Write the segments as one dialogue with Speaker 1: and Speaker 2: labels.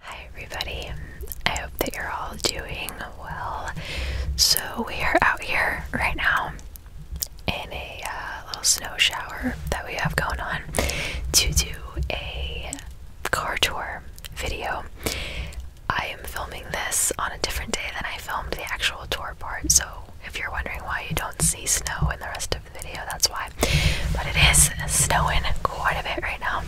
Speaker 1: Hi, everybody. I hope that you're all doing well. So, we are out here right now in a uh, little snow shower that we have going on to do a car tour video. I am filming this on a different day than I filmed the actual tour part, so if you're wondering why you don't see snow in the rest of the video, that's why. But it is snowing quite a bit right now.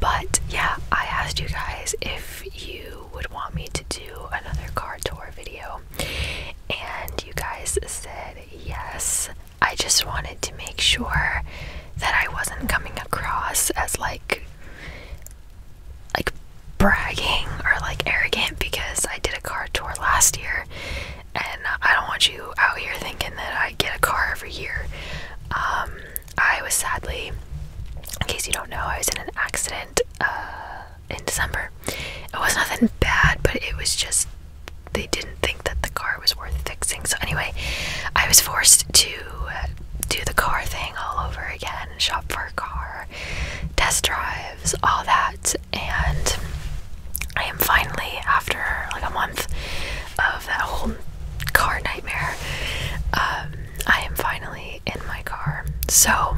Speaker 1: But yeah, I asked you guys if you would want me to do another car tour video, and you guys said yes. I just wanted to make sure that I wasn't coming across as like like bragging or like arrogant because I did a car tour last year and I don't want you out here thinking that I get a car every year. Um, I was sadly, in case you don't know, I was in an accident uh, in December. It was nothing bad, but it was just they didn't think that the car was worth fixing. So, anyway, I was forced to do the car thing all over again, shop for a car, test drives, all that. And I am finally, after like a month of that whole car nightmare, um, I am finally in my car. So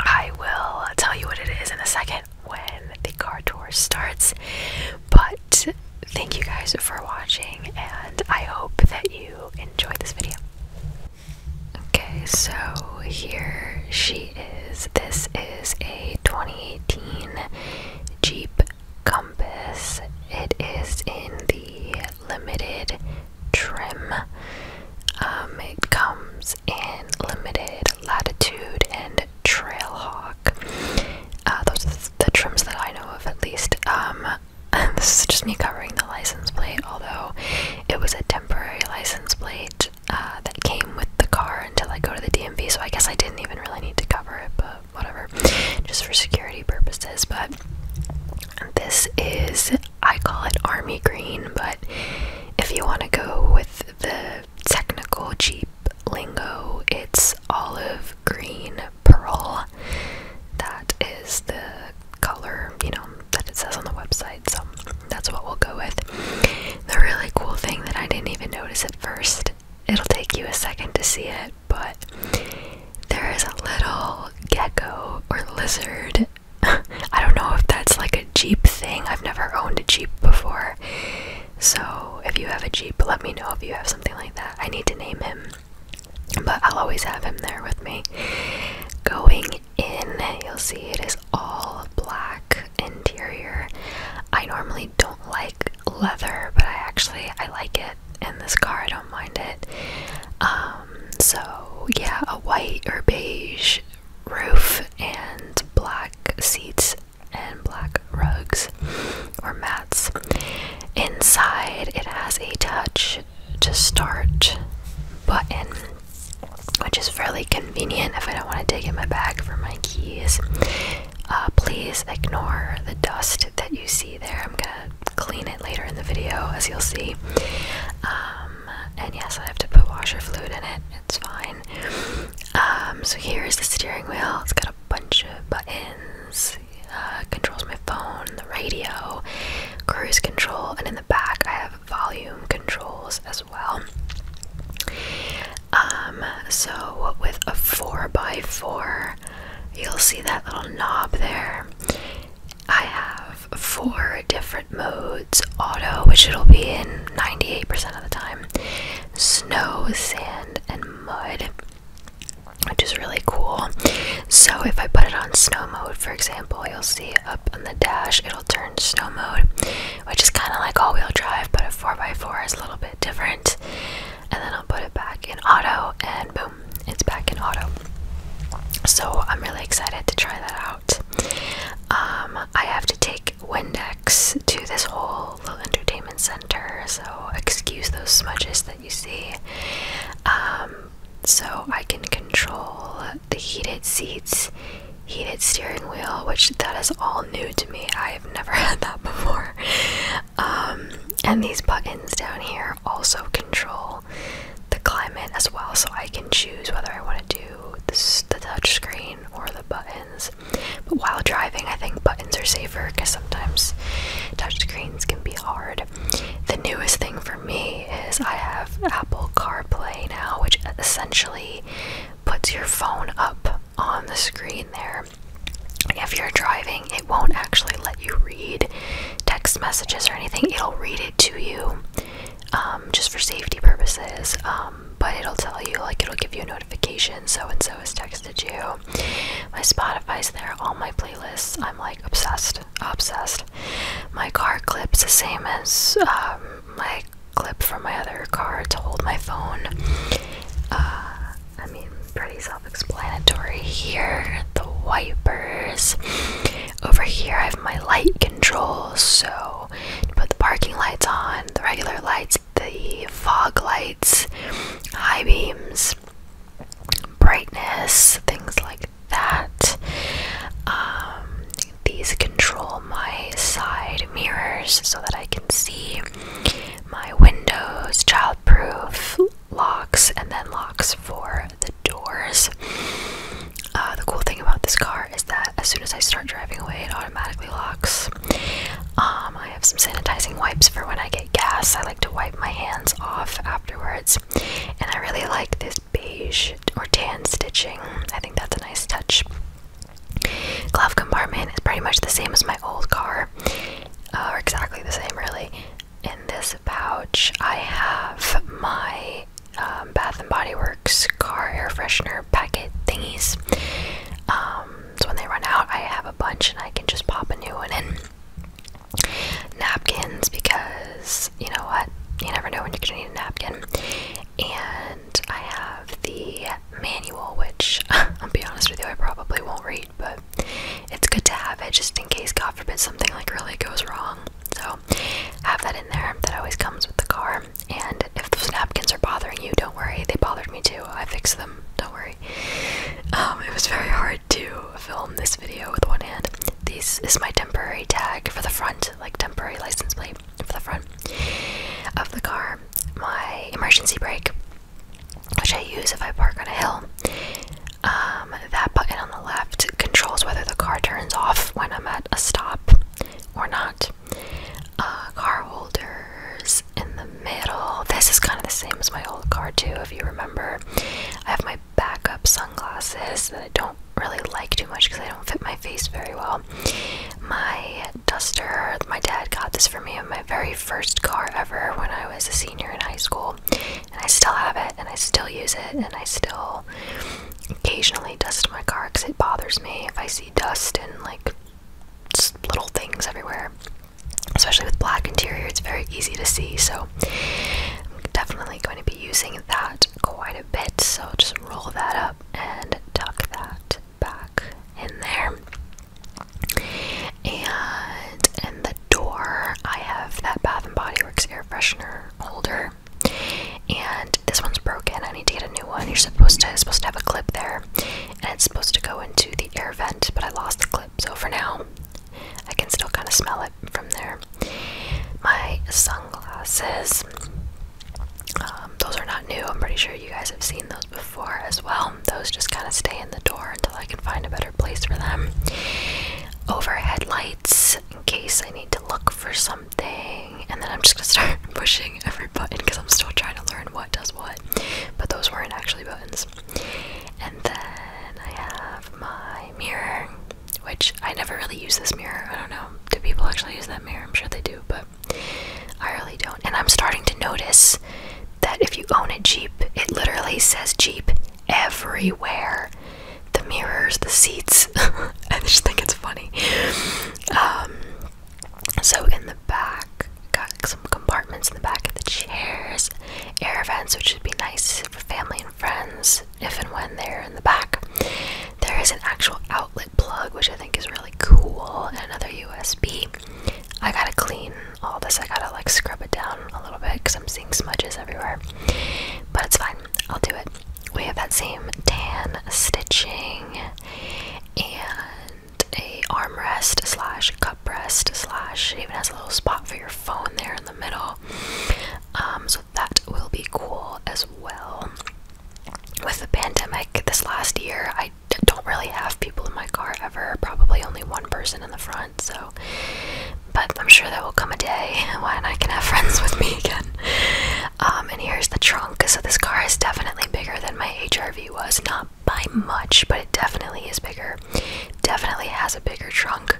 Speaker 1: I will tell you what it is in a second when the car tour starts. But thank you guys for watching, and I hope that you enjoyed this video. Okay, so here she is. This is a 2018 Jeep Compass. It is in the limited trim. Um, it comes in limited latitude and trailhawk. Uh, those are the trims that I know of, at least. Um, this is just me covering the license plate, although it was a temporary license plate uh, that came with the car until I go to the DMV, so I guess I didn't even really need to cover it, but whatever, just for security purposes. But this is, I call it army green, but if you want to go with the technical Jeep lingo, it's olive green pearl that is the color, you know, that it says on the website. So that's what we'll go with. The really cool thing that I didn't even notice at first, it'll take you a second to see it, but there is a little gecko or lizard. I don't know if that's like a Jeep thing. I've never owned a Jeep before. So if you have a Jeep, let me know if you have something like that. I need to name him. But I'll always have him there with me. Going in, you'll see it is all black interior. I normally don't like leather, but I actually I like it in this car. I don't mind it. Um, so yeah, a white or beige roof and black seats and black rugs or mats. Inside, it has a touch to start button, which is fairly convenient if I don't want to dig in my bag for my keys. Uh, please ignore the dust that you see there. I'm gonna clean it later in the video, as you'll see. Um, and yes, I have to put washer fluid in it. It's fine. Um, so here is the steering wheel. It's got a bunch of buttons uh, controls my phone, the radio, cruise control, and in the back I have volume controls as well. Um, so with a 4x4, you'll see that little knob there. I have four different modes auto, which it'll be in 98% of the time, snow, sand, and mud which is really cool. So if I put it on snow mode, for example, you'll see up on the dash it'll turn snow mode, which is kind of like all-wheel drive, but a 4x4 is a little bit different. And then I'll put it back in auto, and boom, it's back in auto. So I'm really excited to try that out. Um, I have to take Windex to this whole little entertainment center, so excuse those smudges that you see. Um, so I can control the heated seats, heated steering wheel, which that is all new to me. I've never had that before. Um, and these buttons down here also control the climate as well, so I can choose whether I want to do the touchscreen or the buttons. But while driving, I think but are safer because sometimes touchscreens can be hard. The newest thing for me is I have Apple CarPlay now, which essentially puts your phone up on the screen there. If you're driving, it won't actually let you read text messages or anything, it'll read it to you um, just for safety purposes. Um, but it'll tell you, like, it'll give you a notification. So, and so so has texted you. My Spotify's there, all my playlists. I'm like obsessed, obsessed. My car clip's the same as um, my clip from my other car to hold my phone. Uh, I mean, pretty self explanatory here. The wipers. Over here, I have my light controls. So, put the parking lights on, the regular lights, the fog lights, high beams, brightness, things like that. Um, these control my side mirrors so that I can see my windows, childproof locks, and then locks for the doors. Uh, the cool thing about this car is that as soon as I start driving away, it automatically locks. Um, I have some sanitizing wipes for when I get gas, I like to wipe my hands off afterwards. And I really like this beige or tan stitching. I think that's a nice touch. Glove compartment is pretty much the same as my old car, or exactly the same, really. In this pouch, I have my um, Bath and Body Works car air freshener packet thingies. Um, so when they run out, I have a bunch and I can just pop a new one in napkins because you know what? You never know when you're gonna need a napkin. And I have the manual, which I'll be honest with you, I probably won't read, but it's good to have it just in case, God forbid, something like really goes wrong. So have that in there. That always comes with the car. And if those napkins are bothering you, don't worry. They bothered me too. I fixed them. Don't worry. Um, it was very hard to film this video with one hand. This is my temporary tag for the front, like temporary license plate for the front of the car. My emergency brake, which I use if I park on a hill. Um, that button on the left controls whether the car turns off when I'm at a stop or not. Uh, car holders in the middle. This is kind of the same as my old car, too, if you remember. I have my backup sunglasses that I don't really like too much because they don't fit my face very well. My duster, my dad got this for me in my very first car ever when I was a senior in high school, and I still have it and I still use it and I still occasionally dust my car because it bothers me if I see dust and like little things everywhere especially with black interior it's very easy to see so i'm definitely going to be using that quite a bit so just roll that up and tuck that back in there and in the door i have that bath and body works air freshener holder and this one's broken i need to get a new one you're supposed to supposed to have a clip there and it's supposed to go into the air vent but i lost the clip so for now I can still kind of smell it from there. My sunglasses. Um, those are not new. I'm pretty sure you guys have seen those before as well. Those just kind of stay in the door until I can find a better place for them. Overhead lights in case I need to look for something. And then I'm just going to start pushing every button because I'm still trying to learn what does what. But those weren't actually buttons. And then I have my mirror, which I never really use this mirror. I don't know. Do people actually use that mirror? I'm sure they do, but I really don't. And I'm starting to notice that if you own a Jeep, it literally says Jeep everywhere the mirrors, the seats. I just think it's funny. Um, so in the back, got some compartments in the back of the chairs air vents, which would be nice for family and friends if and when they're in the back. There is an actual outlet plug, which I think is really cool, and another USB. I gotta clean all this, I gotta like scrub it down a little bit because I'm seeing smudges everywhere, but it's fine, I'll do it. We have that same tan stitching and a armrest slash cup slash even has a little spot for your phone there in the middle um, so that will be cool as well with the pandemic this last year i don't really have people in my car ever probably only one person in the front so but i'm sure there will come a day when i can have friends with me again um, and here's the trunk so this car is definitely bigger than my hrv was not by much, but it definitely is bigger. Definitely has a bigger trunk,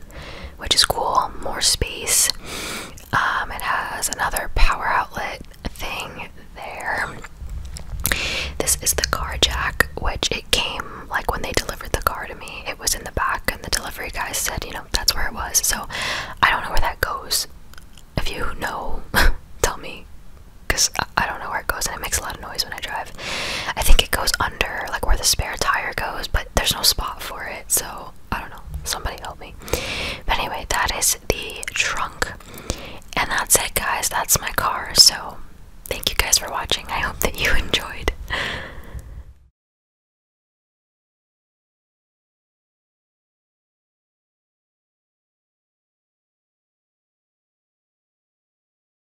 Speaker 1: which is cool. More space. Um, it has another power outlet thing there. This is the car jack, which it came like when they delivered the car to me. It was in the back, and the delivery guy said, you know, that's where it was. So I don't know where that goes. If you know, tell me, because I don't know where goes and it makes a lot of noise when I drive. I think it goes under like where the spare tire goes, but there's no spot for it, so I don't know. Somebody help me. But anyway, that is the trunk. And that's it, guys. That's my car. So thank you guys for watching. I hope that you enjoyed.